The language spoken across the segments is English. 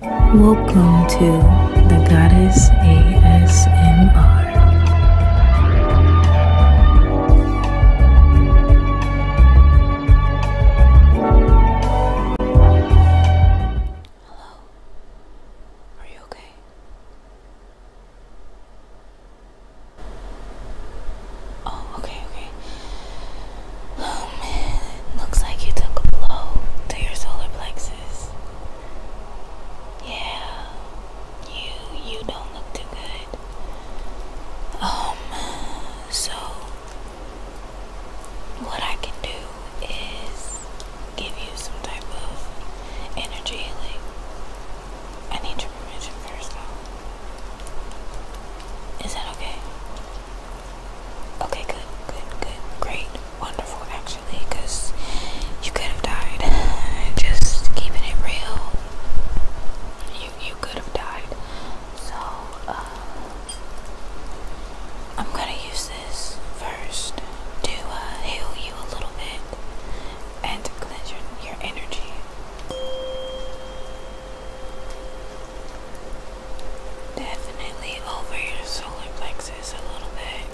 Welcome to the Goddess ASMR. Hello. Are you okay? Oh, okay, okay. Oh man, looks like you took a blow to your solar plexus. Yeah, you you don't look too good. Um, so what I can do is give you some type of energy healing. I need your permission first, though. Is that okay? Okay, good, good, good, great, wonderful actually, because you could have died. Just keeping it real, you you could have died. So uh, I'm gonna use this first to uh, heal you a little bit and to cleanse your, your energy. Definitely over your solar plexus a little bit.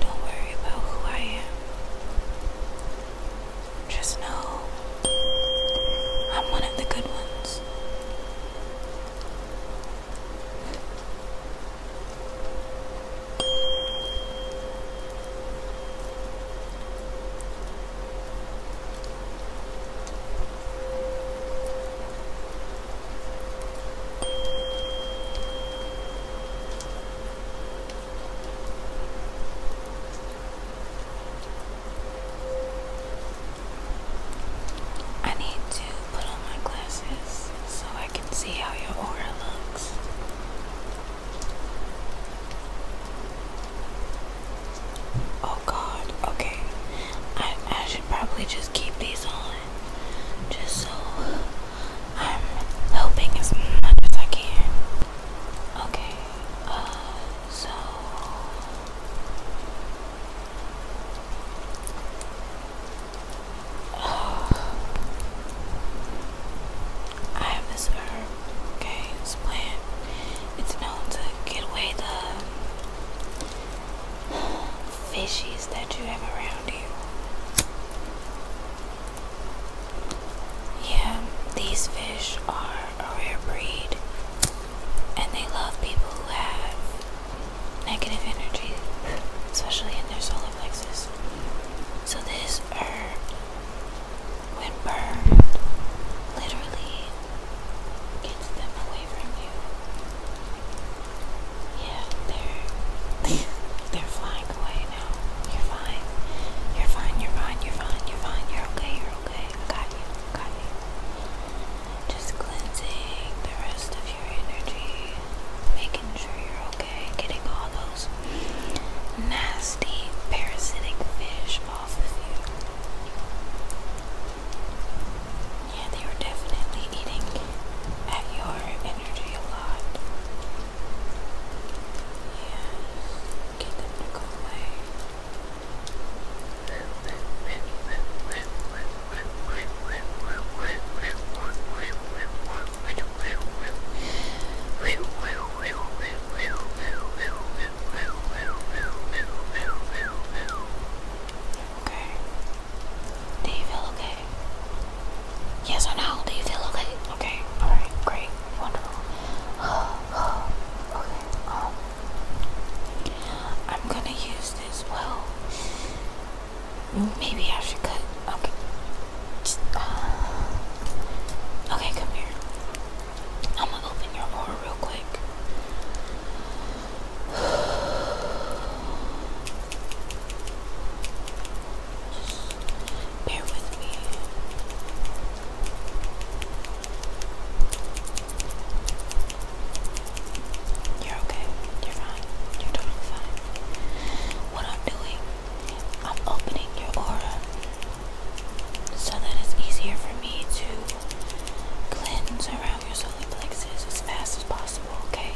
Don't worry about who I am. Just know I'm one of the good ones. I need to put on my glasses so I can see how your aura looks. Oh god, okay. I, I should probably just keep these on just so I'm helping as much as I can. Okay, uh, so I have this herb, okay, this plant. It's known to get away the fishies that you have around you. Yeah, these fish are a rare breed and they love people who have negative energy, especially in their solar plexus. So, this herb, when literally gets them away from you. Yeah, they're they're flying away now. You're fine. You're fine. You're fine. You're fine. You're fine. You're okay. You're okay. I got you. I got you. Just cleansing the rest of your energy, making sure you're okay, getting all those nasty parasitic fish off of you. Yeah, they are definitely eating at your energy a lot. Yeah, get them away. Okay. Do you feel okay? Yes or no? Do you feel okay? Okay. All right. Great. Wonderful. okay. Um, I'm gonna use this well. Maybe I should cut. Okay. okay, come here. I'm gonna open your door real quick. Just bear with me. You're okay. You're fine. You're totally fine. What I'm doing, I'm opening your aura so that it's easier for me to cleanse around your solar plexus as fast as possible okay?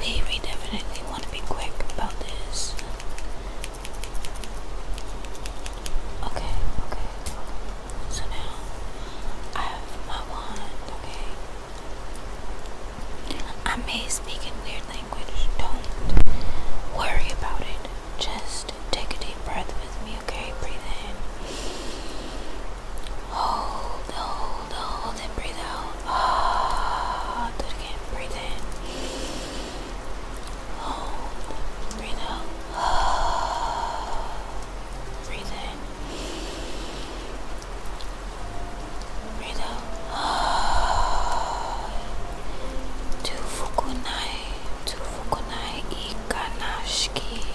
We, definitely want to be quick about this. Okay, okay. So now I have my wand, okay? I may speak in weird language. Don't worry about it. Just take a deep breath with me, okay? Breathe in. Hold, hold, hold, and breathe out. Ah, do it again. Breathe in. Hold, breathe out. Ah, breathe in. Breathe out. Ah, to fukunai, to fukunai ikanashiki.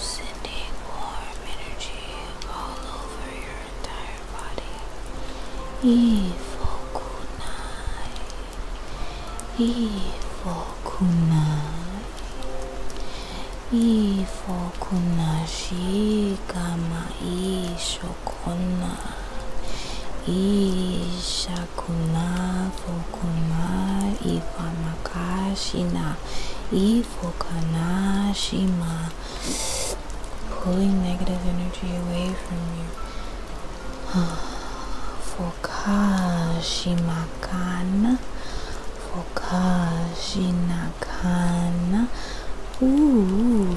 Sending warm energy all over your entire body. Ifokunai. Ifokunai. Ifokunashi kama ishokona. Isha Hakuna fokuma ifamakashina ifokanashima. Pulling negative energy away from you. Fokashimakan Fokashinakan. Ooh,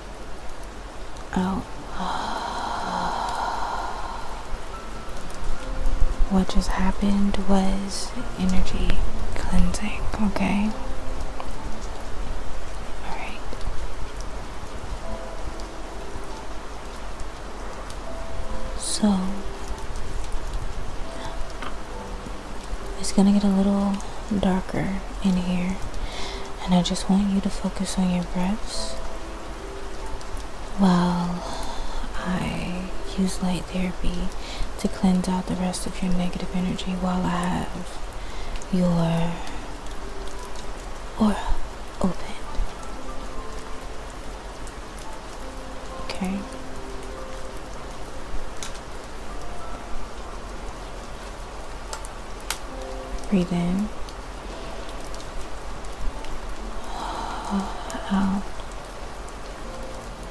out. Oh. What just happened was energy cleansing, okay? Alright. So, it's gonna get a little darker in here. And I just want you to focus on your breaths while I use light therapy to cleanse out the rest of your negative energy while I have your aura open. Okay. Breathe in. Out.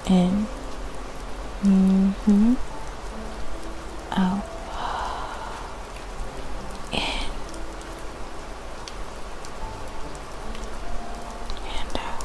In. hmm Out. In. And out.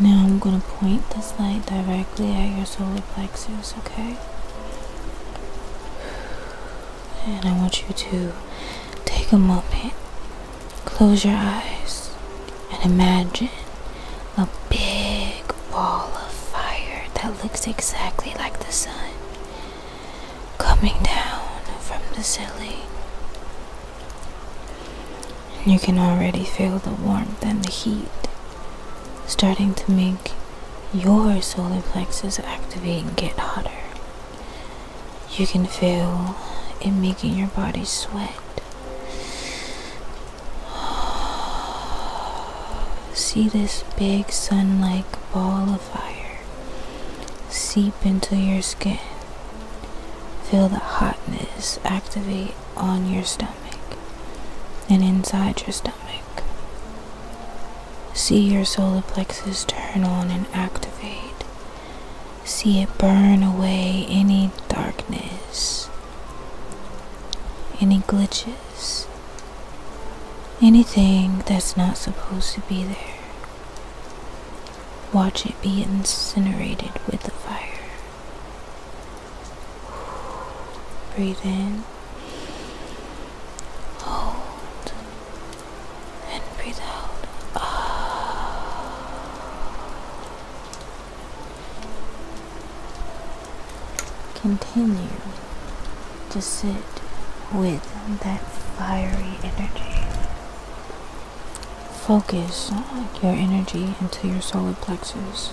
Now I'm going to point this light directly at your solar plexus, okay? And I want you to take a moment Close your eyes and imagine a big ball of fire that looks exactly like the sun coming down from the ceiling. You can already feel the warmth and the heat starting to make your solar plexus activate and get hotter. You can feel it making your body sweat. See this big sun like ball of fire seep into your skin. Feel the hotness activate on your stomach and inside your stomach. See your solar plexus turn on and activate See it burn away any darkness, any glitches, anything that's not supposed to be there. Watch it be incinerated with the fire. Breathe in. Hold. And breathe out. Ah. Continue to sit with that fiery energy. Focus your energy into your solar plexus.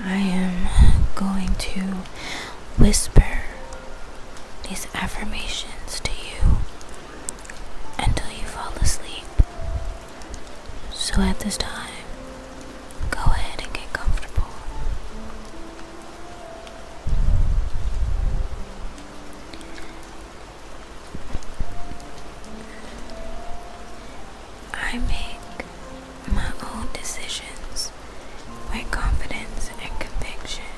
I am going to whisper these affirmations to you until you fall asleep. So at this time, go ahead and get comfortable. I make my own decisions with confidence and conviction.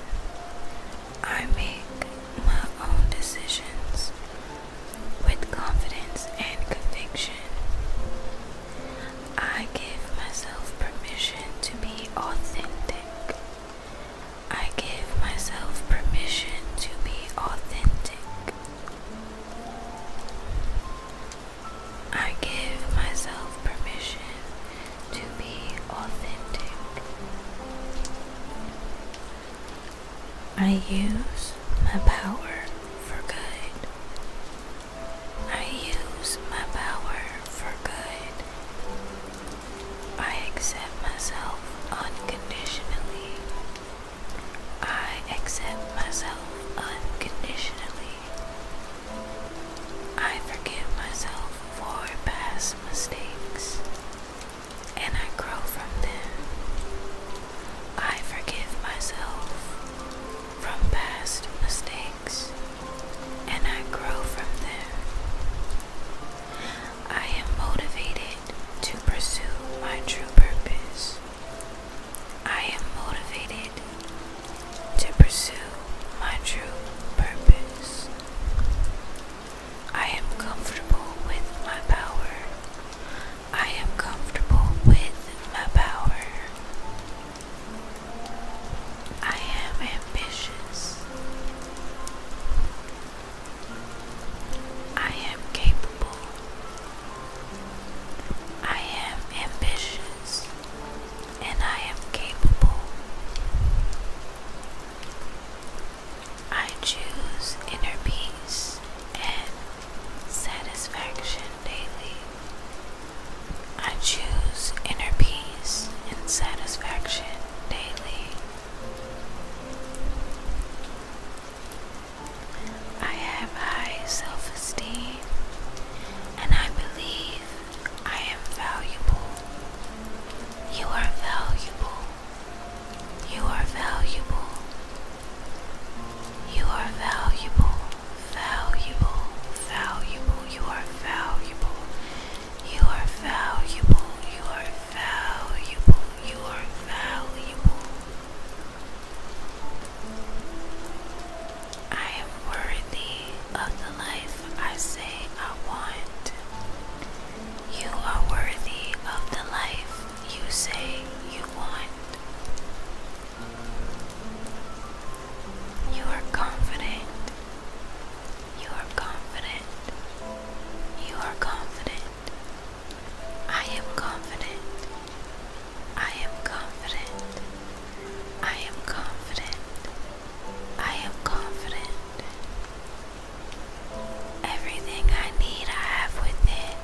I make my own decisions with confidence and conviction. I give myself permission to be authentic. I give myself permission to be authentic. I give myself permission to be authentic. I use my power for good. I use my power for good. I accept myself unconditionally. I accept myself unconditionally. I forgive myself for past mistakes, and I grow from them. I forgive myself from past mistakes, and I grow from them. I am motivated to pursue my true purpose. I am motivated to pursue my true purpose. I am comfortable with my power. I am comfortable with my power. I am ambitious. I am capable. I am ambitious and I am capable. I choose inner peace and satisfaction daily. I choose inner peace and satisfaction daily. I have high self esteem and I believe I am valuable. You are valuable. You are valuable. You are valuable. Valuable. Valuable. You are valuable. You are valuable. You are valuable. You are valuable. You are valuable. I am worthy of the life I say I want. You are worthy of the life you say you want. You are confident. You are confident. You are confident. I am confident. I am confident. I am confident. I am confident. Everything I need, I have within.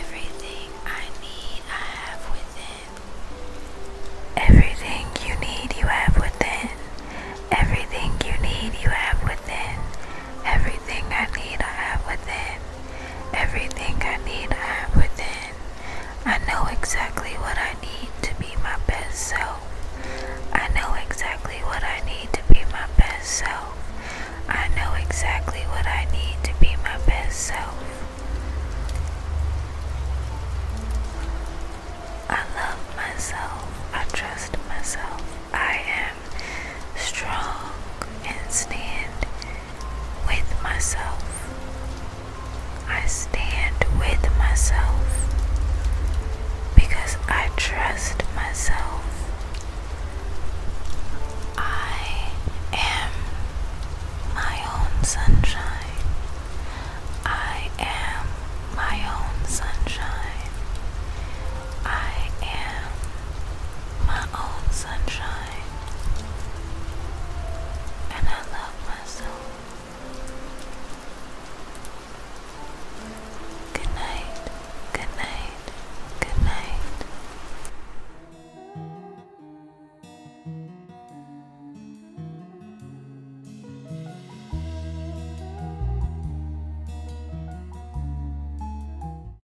Everything I need, I have within. Everything you need, you have within. Everything you need, you have within. Everything Everything I need, I have within. Everything I need, I have within. I know exactly what I need to be my best self. I know exactly what I need to be my best self. I know exactly what I need to be my best self. I love myself. I trust myself. I am strong and stand with myself. I stand with myself because I trust myself. I am my own sunshine. I am my own sunshine. I am my own sunshine. time. And I love myself. Good night, good night, good night.